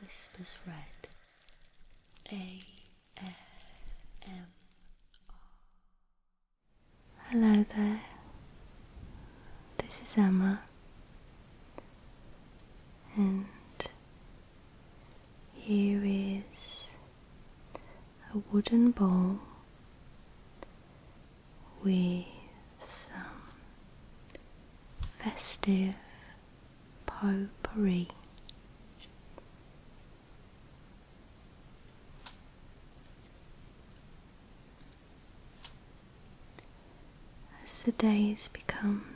Whispers Red ASMR. Hello there, this is Emma, and here is a wooden bowl with some festive potpourri. As the days become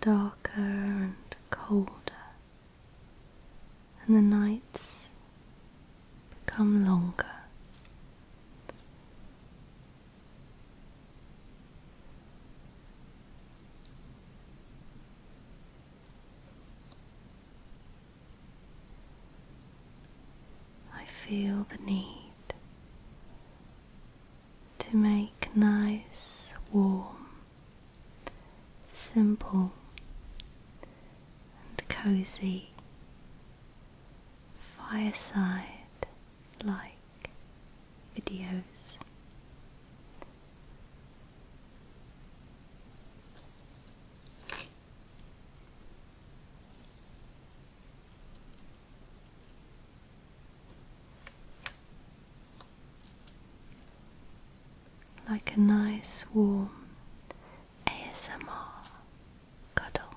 darker and colder, and the nights become longer, I feel the need to make nice, warm, simple, and cozy fireside like videos. Like a nice warm ASMR cuddle.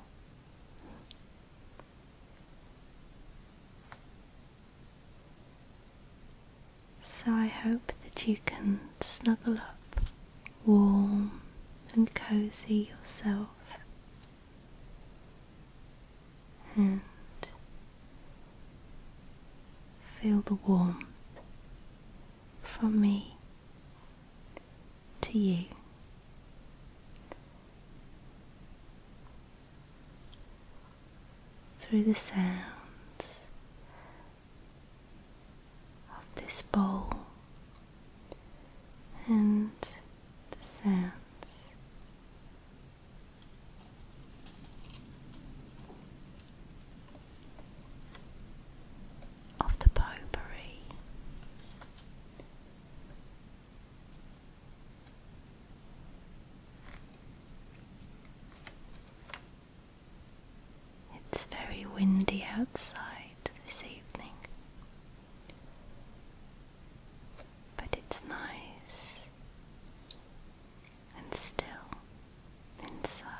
So I hope that you can snuggle up warm and cozy yourself and feel the warmth from me to you through the sounds of this bowl and the sounds of the potpourri it's very windy outside this evening, but it's nice and still inside.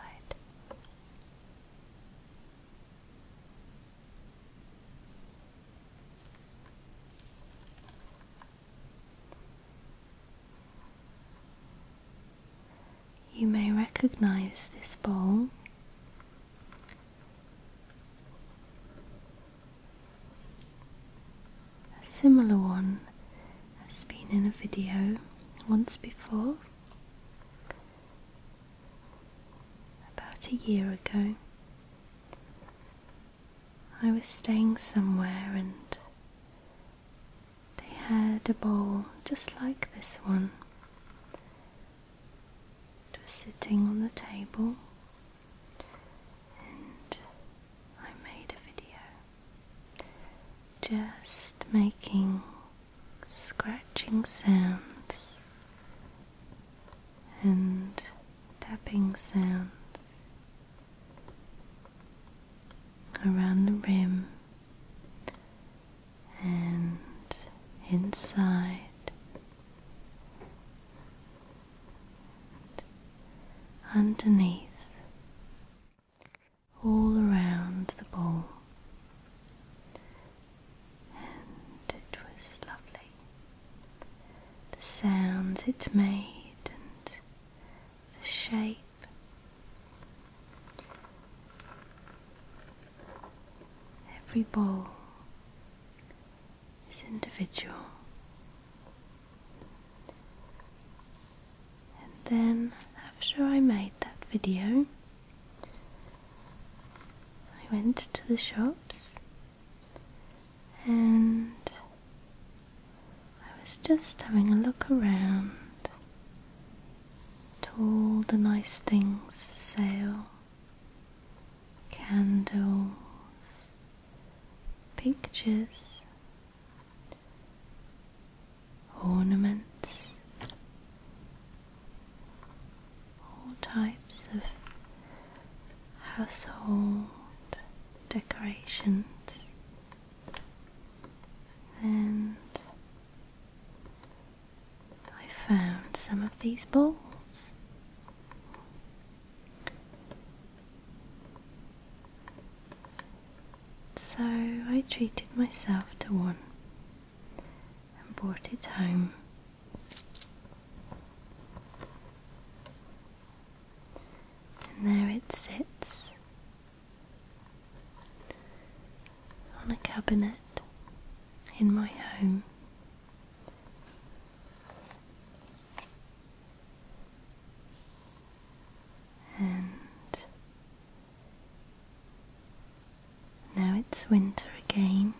You may recognize this bowl. A similar one has been in a video once before, about a year ago. I was staying somewhere and they had a bowl just like this one. It was sitting on the table and I made a video just making scratching sounds and tapping sounds around the rim and inside underneath all around the ball and it was lovely the sounds it made and the shape. Every ball is individual. And then, after I made that video, I went to the shops and I was just having a look around to all the nice things for sale candles, pictures, ornaments, all types of household decorations and I found some of these bowls. So I treated myself to one and brought it home. And there it sits on a cabinet in my home. And now it's winter again,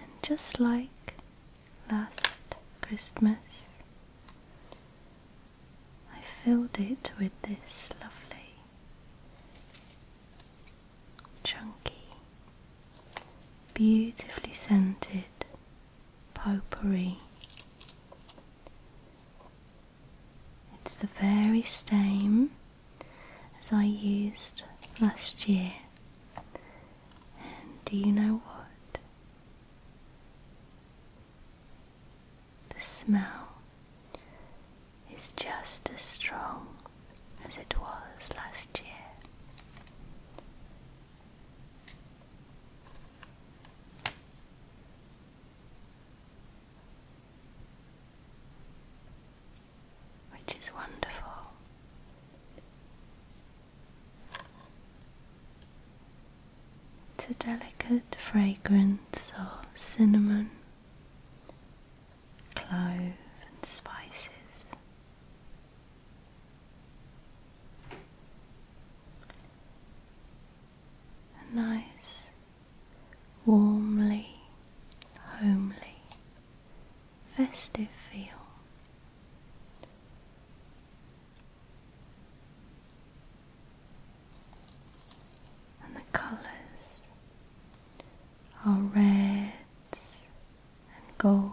and just like last Christmas, I filled it with this lovely, chunky, beautifully scented potpourri. It's the very same as I used last year. And do you know what? The smell is just as strong as it was last year. Which is wonderful it's a delicate fragrance of cinnamon, clove, and spices. A nice, warmly, homely, festive feel and the colors are reds and golds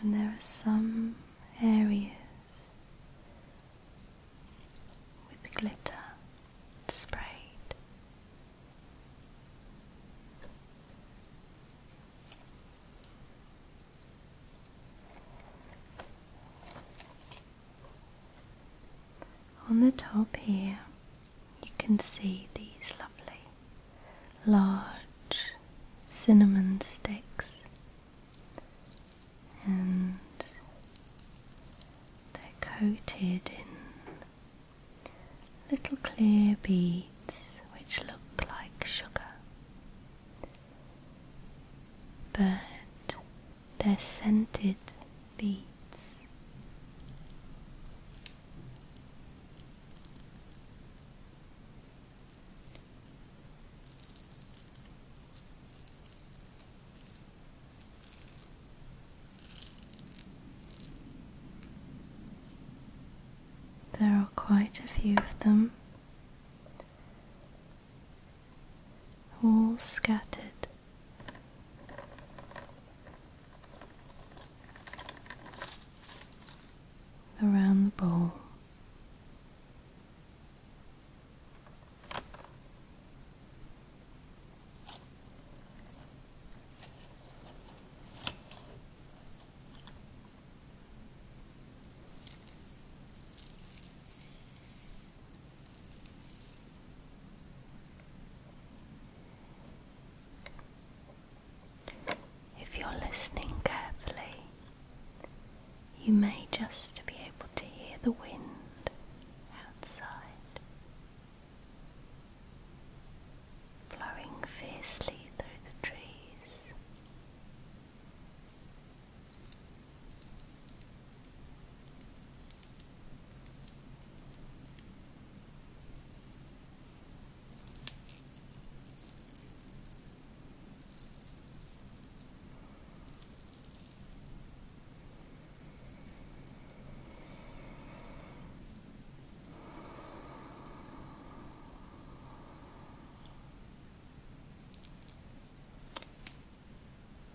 and there are some areas with glitter sprayed. On the top here, you can see these lovely large cinnamon sticks, and they're coated in little clear beads which look like sugar, but they're scented beads. There are quite a few of them, all scattered around the bowl. If you're listening carefully, you may just be able to hear the wind outside blowing fiercely through the trees.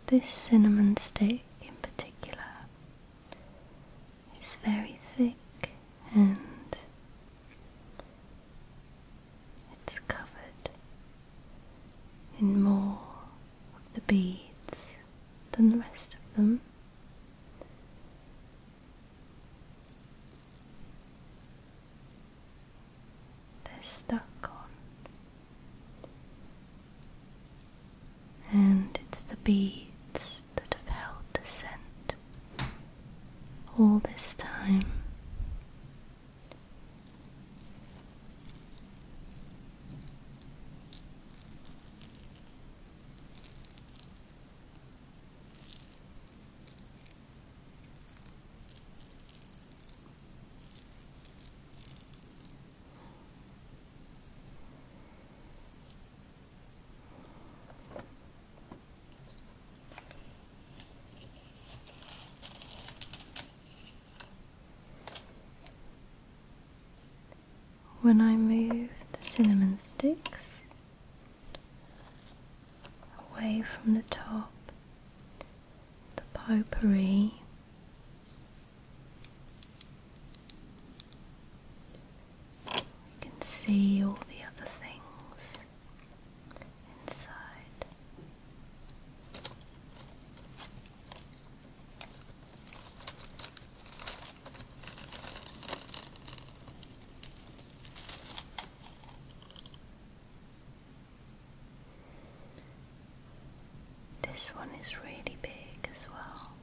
This cinnamon stick in particular it's very thick and it's covered in more of the beads than the rest of them. They're stuck on, and it's the beads that have held the scent all this time. When I move the cinnamon sticks away from the top, the potpourri you can see all the other things inside. This one is really big as well.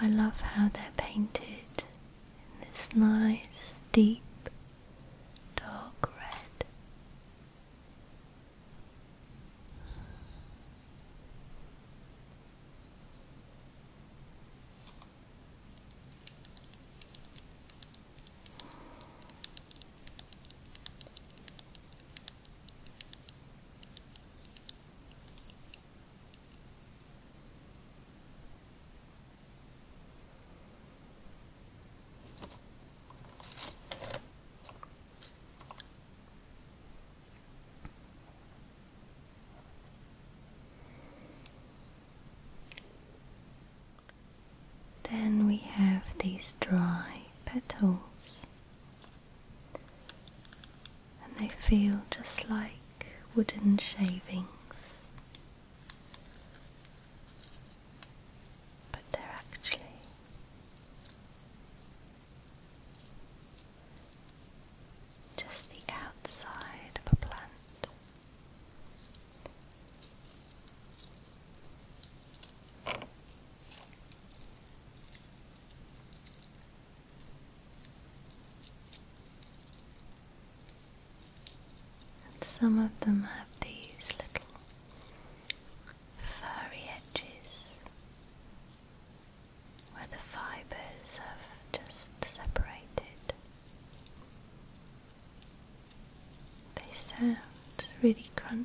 I love how they're painted in this nice, deep, dark red. Then we have these dry petals and they feel just like wooden shavings, but they're actually just the outside of a plant. And some of them have these little furry edges where the fibers have just separated. They sound really crunchy.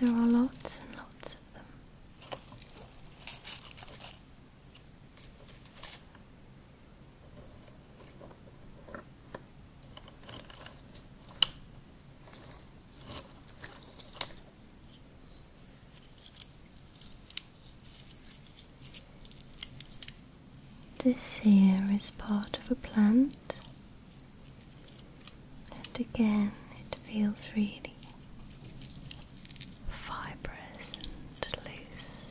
There are lots and lots of them. This here is part of a plant, and again it feels really fibrous and loose.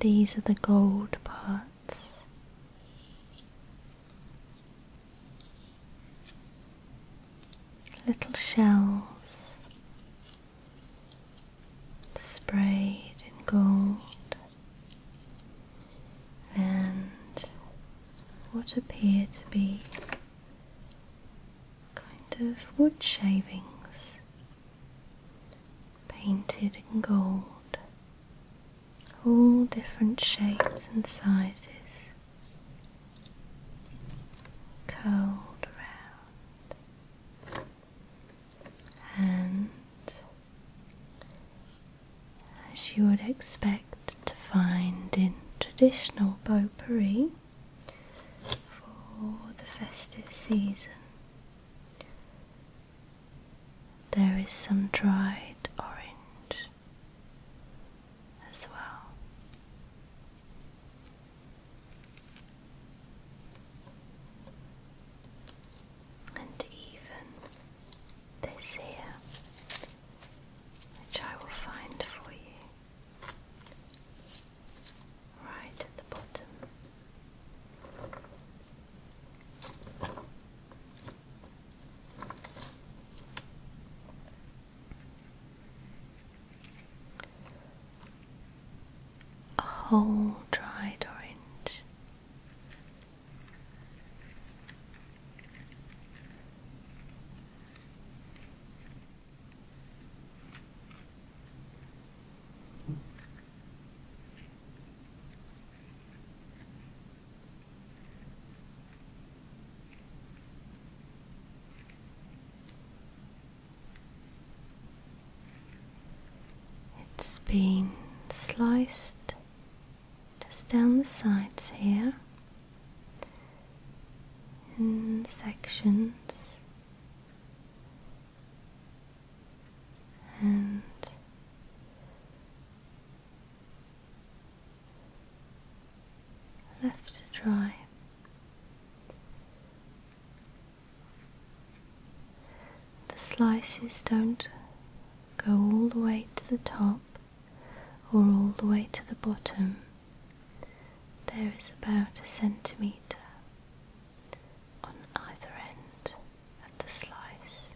These are the gold parts little shells sprayed in gold and what appear to be kind of wood shavings painted in gold all different shapes and sizes cold round and as you would expect to find in traditional potpourri for the festive season there is some dried orange as well. And even this here, which I will find for you right at the bottom a whole dried orange. It's been sliced just down the sides here in sections. And left to dry. The slices don't go all the way to the top or all the way to the bottom. There is about a centimetre on either end of the slice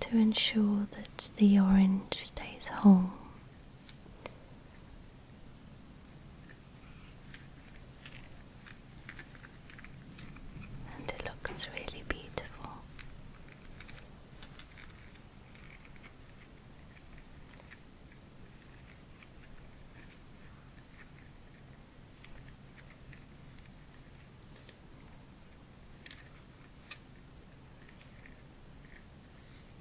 to ensure that the orange stays whole and it looks really beautiful.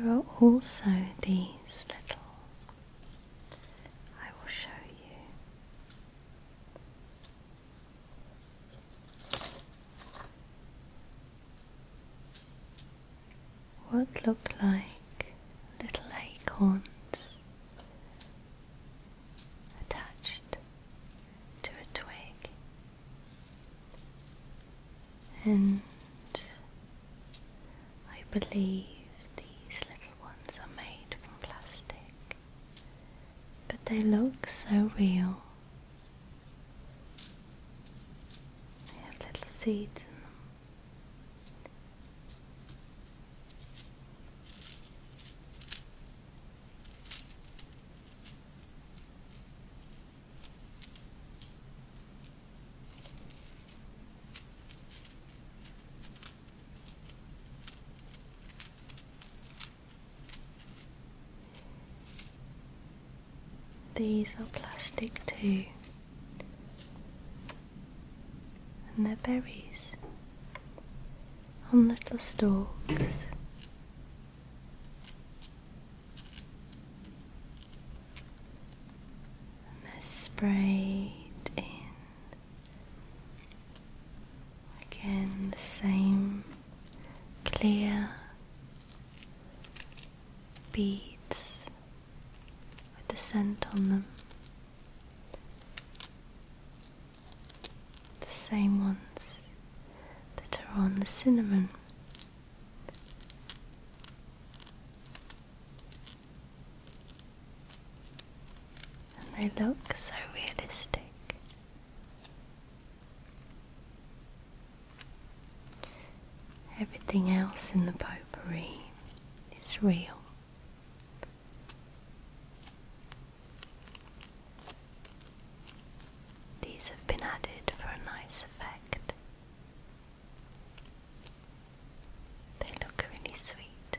There are also these little. I will show you. What looked like little acorns attached to a twig. And I believe these little ones are made from plastic, but they look so real. They have little seeds in them. These are plastic too, and they're berries on little stalks. And spray sprayed in. Again, the same clear beads with the scent on them the same ones that are on the cinnamon. And they look so realistic. Everything else in the potpourri is real. These have been added for a nice effect. They look really sweet.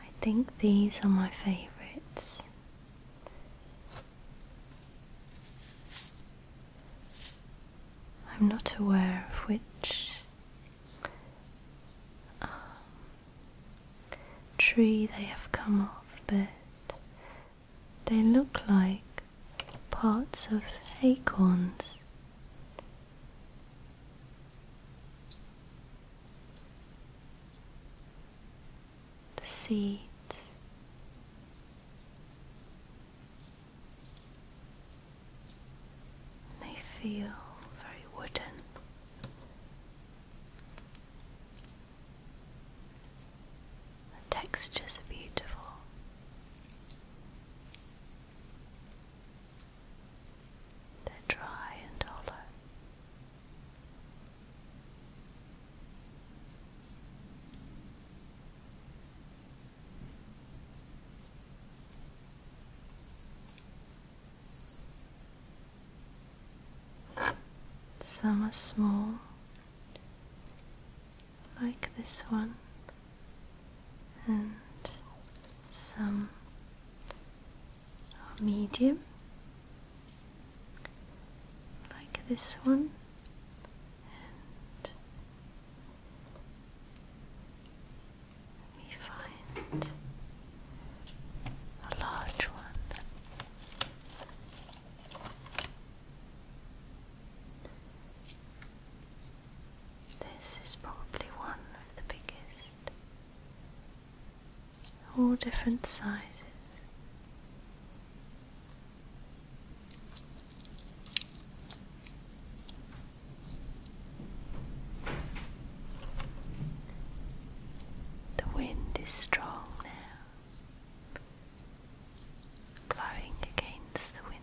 I think these are my favorites. I'm not aware of which um, tree they have come off, but they look like parts of acorns the seats. They feel very wooden. The textures are beautiful. They're dry and hollow. Some are small, like this one, and some are medium, like this one and find a large one. This is probably one of the biggest, all different sizes. The wind is strong now, blowing against the windows.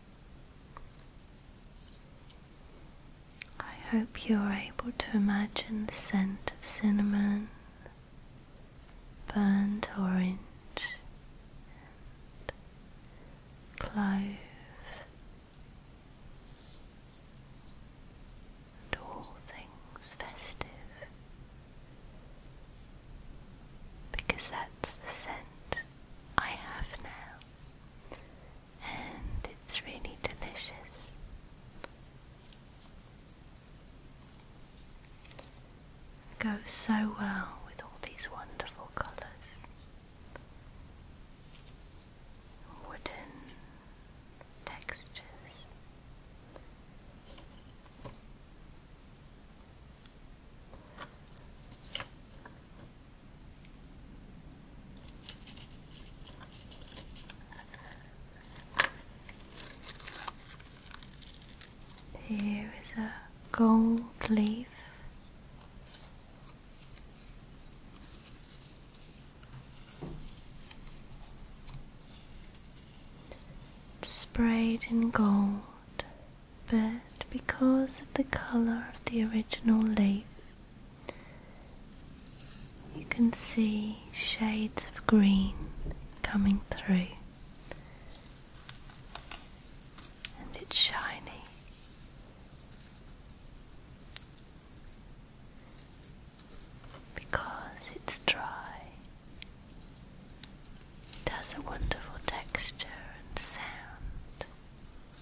I hope you're able to imagine the scent of cinnamon, burnt orange, and clove, and all things festive. Because that's the scent I have now, and it's really delicious. It goes so well with all these wonderful colours wooden textures. Here is a gold leaf. Sprayed in gold but because of the color of the original leaf, you can see shades of green coming through, and it's shiny. Because it's dry, it has a wonderful texture and sound.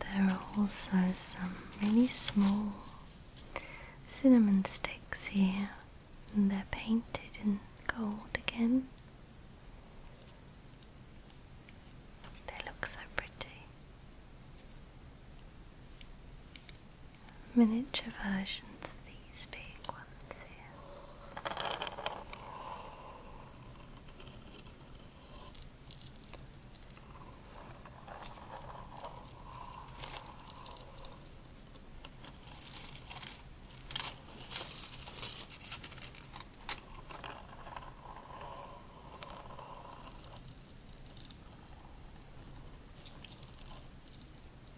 There are also some really small cinnamon sticks here, and they're painted in gold again. They look so pretty. Miniature versions of these these big ones here.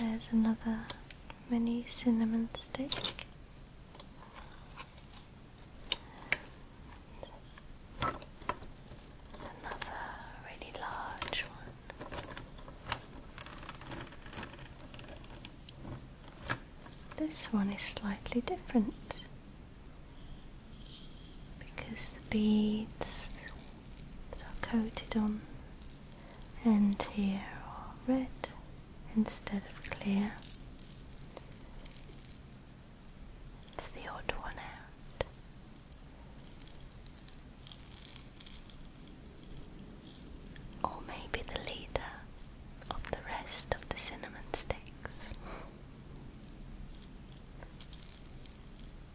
There's another mini cinnamon stick. another really large one. This one is slightly different because the beads so I coated on and here are red instead of clear. It's the odd one out. Or maybe the leader of the rest of the cinnamon sticks.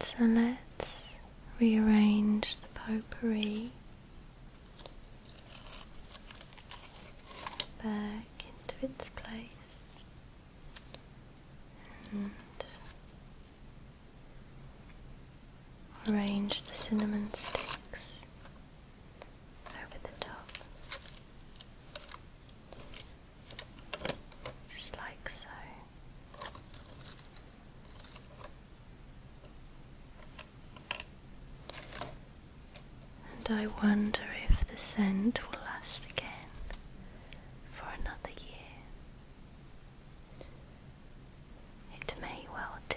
So let's rearrange the potpourri back into its place and arrange the cinnamon sticks over the top, just like so. And I wonder if the scent will last again for another year. It may well do.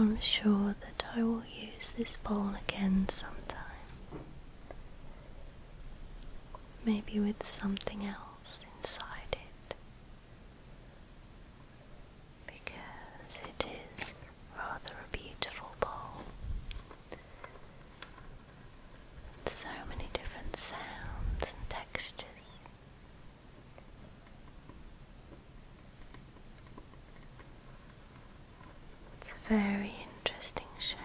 I'm sure that I will use this bowl again sometime. Maybe with something else inside it. Because it is rather a beautiful bowl. So many different sounds and textures. It's a very interesting shape.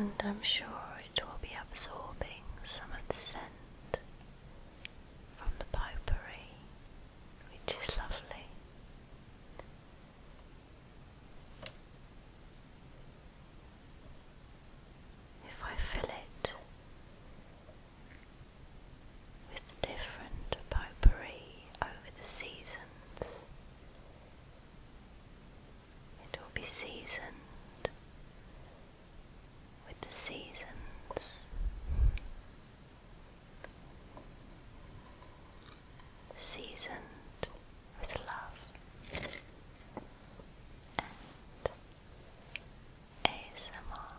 And I'm sure it will be absorbing some of the scent from the popery, which is lovely. If I fill it with different potpourri over the seasons. It will be seasoned with the seasons. Seasoned with love and ASMR.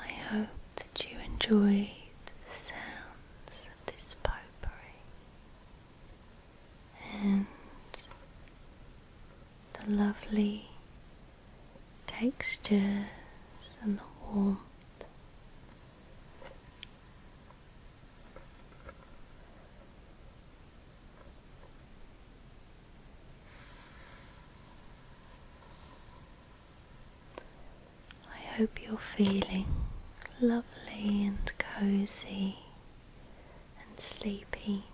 I hope that you enjoyed the sounds of this potpourri and the lovely textures and the warmth. I hope you're feeling lovely and cozy and sleepy.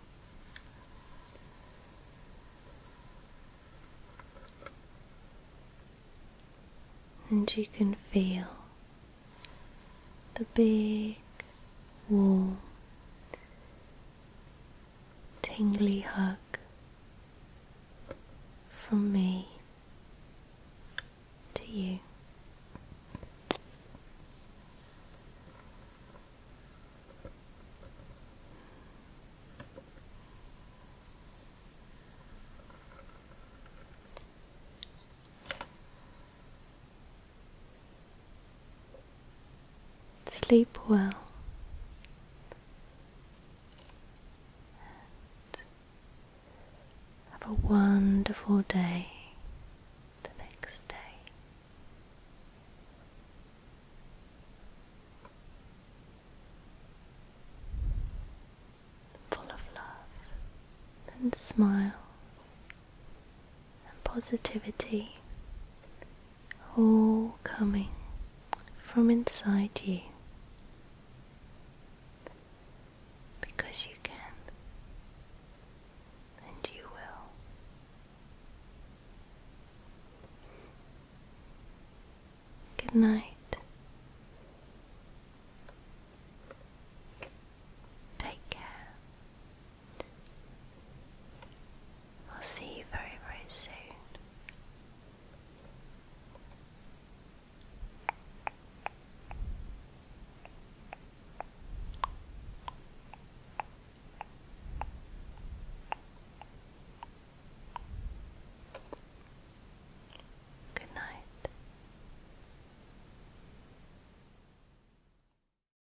And you can feel the big, warm, tingly hug from me to you. Sleep well. have a wonderful day the next day. Full of love and smiles and positivity all coming from inside you because you can and you will. Good night. Take care. I'll see you very, very soon. Good night.